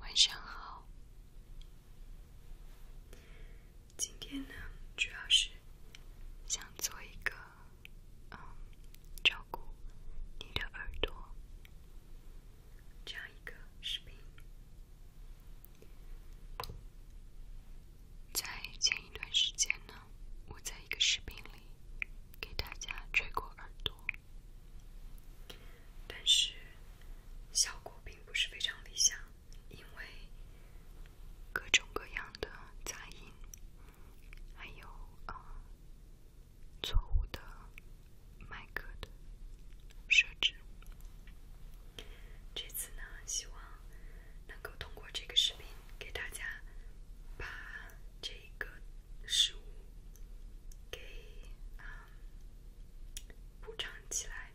晚上好，今天呢，主要是想做一个嗯，照顾你的耳朵这样一个视频。在前一段时间呢，我在一个视频里给大家吹过耳朵，但是效果并不是非常理想，因为各种各样的杂音，还有啊错误的麦克的。设置。这次呢，希望能够通过这个视频给大家把这个食物给补偿起来，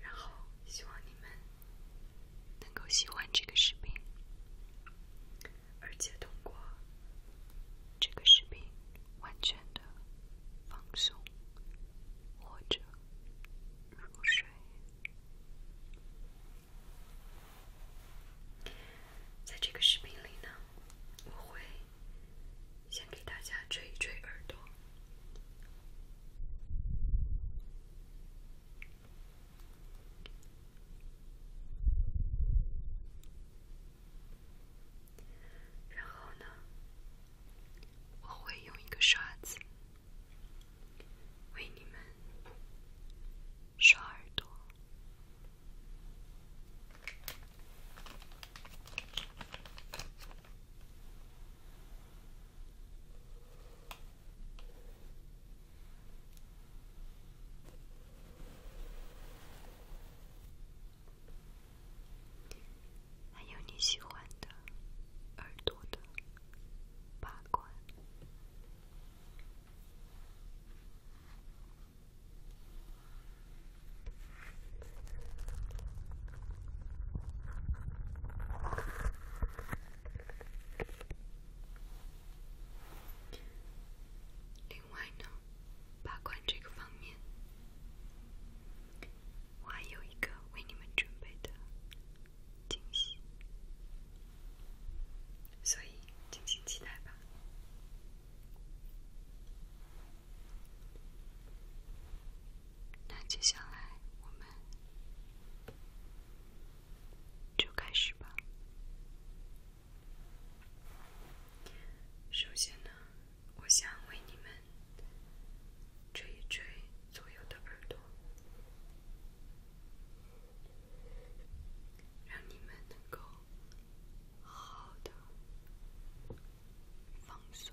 然后希望你们能够喜欢这个视频，而且通过这个视频完全的放松或者。如果睡，在这个视频里呢，我会先给大家吹一吹耳朵，然后呢。我会用一个刷子为你们刷耳朵。还有你喜欢的耳朵的拔罐。另外呢，拔罐这个方面。我还有一个为你们准备的惊喜，所以敬请期待吧。那接下来我们就开始吧。首先呢。我想为你们捶一捶左右的耳朵，让你们能够好的放松。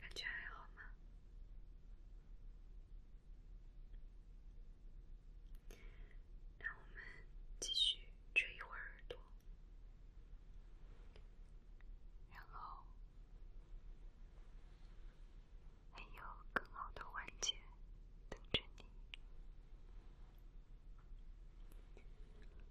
感觉还好吗？让我们继续吹一会儿耳朵，然后还有更好的环节等着你。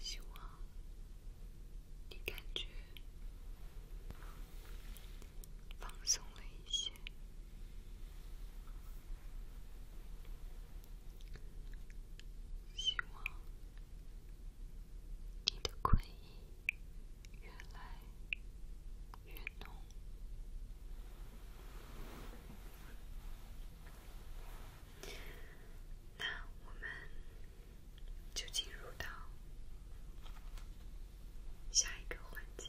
希望你感觉放松了一些。希望你的困意越来越浓。那我们就进入到下一个环节。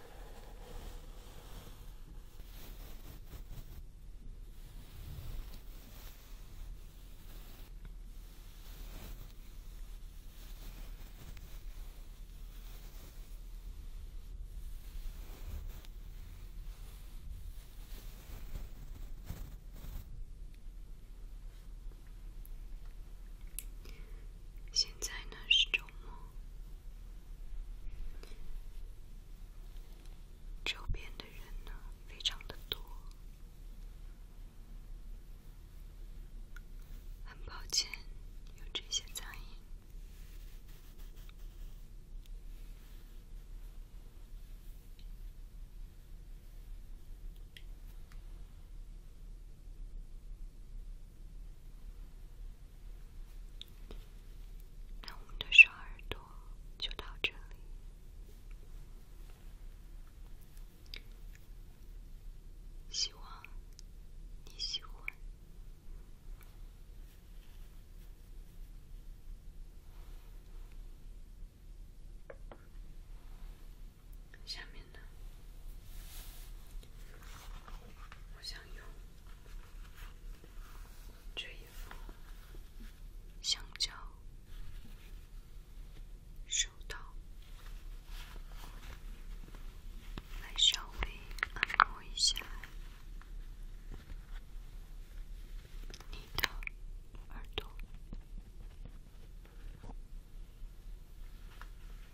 现在呢是周末。周边的人呢，非常的多。很抱歉有这些噪音。那我们的小耳朵就到这里，希望你喜欢。下面的，我想用。这一副橡胶手套，来稍微按摩一下你的耳朵。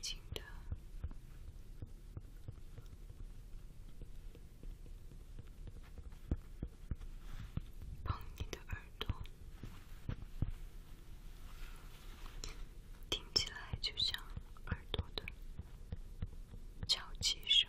轻轻地碰你的耳朵，听起来就像耳朵的敲击声。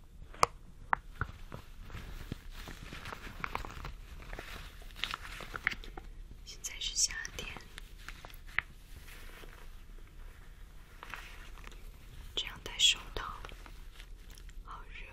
现在是夏天，这样戴手套，好热。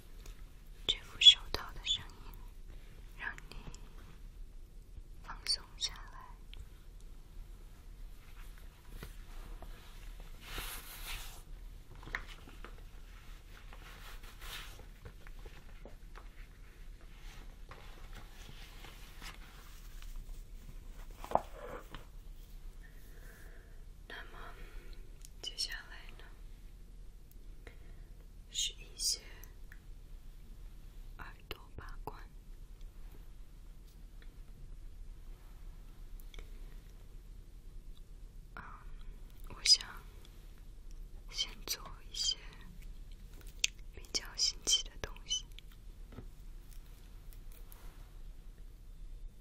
这副手套的声音，让你放松下来。那么，接下来呢？是一些耳朵把关。嗯，我想先做一些比较新奇的东西。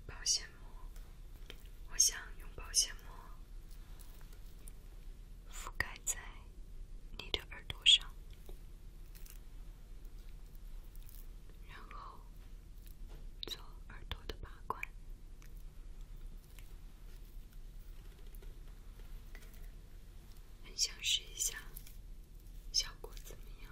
保鲜膜，我想用保鲜膜。覆盖在你的耳朵上，然后做耳朵的把关，很想试一下，效果怎么样？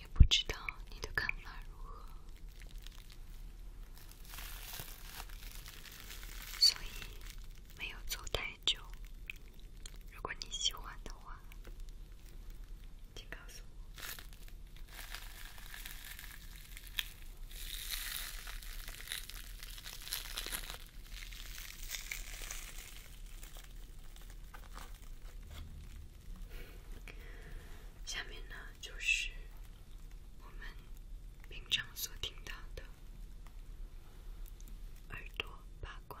也不知道你的看法如何，所以没有做太久。如果你喜欢的话。请告诉我。下面呢，就是我们平常所听到的耳朵八关。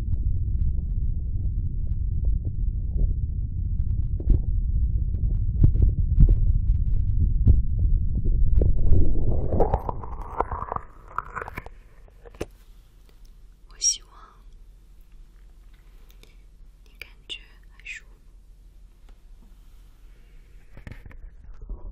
我希望你感觉还舒服。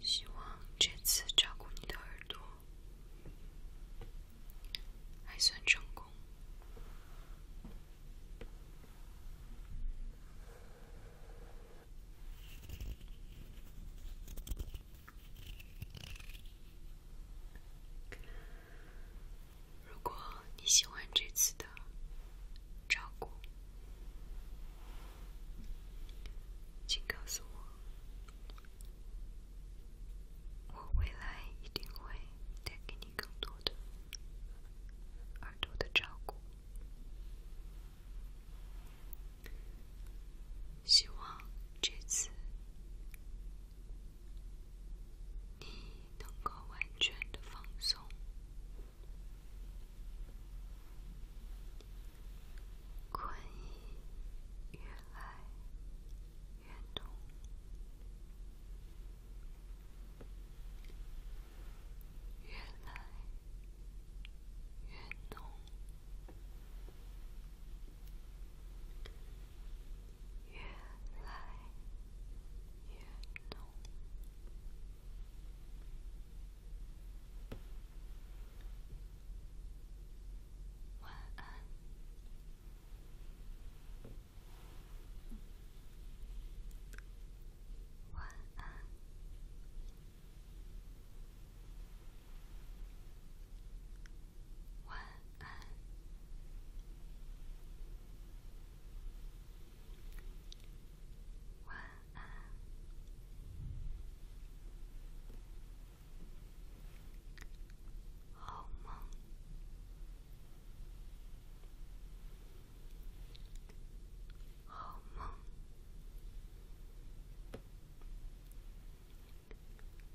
希望这次照顾你的耳朵还算成功。如果你喜欢这次的照顾，请告诉我，我未来一定会带给你更多的、更多的照顾。希望这次你。能够完全的放松，困越来越浓。晚安，晚安，晚。晚安，晚安，好梦，好梦。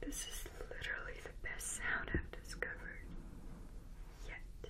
This is literally the best sound I've discovered yet.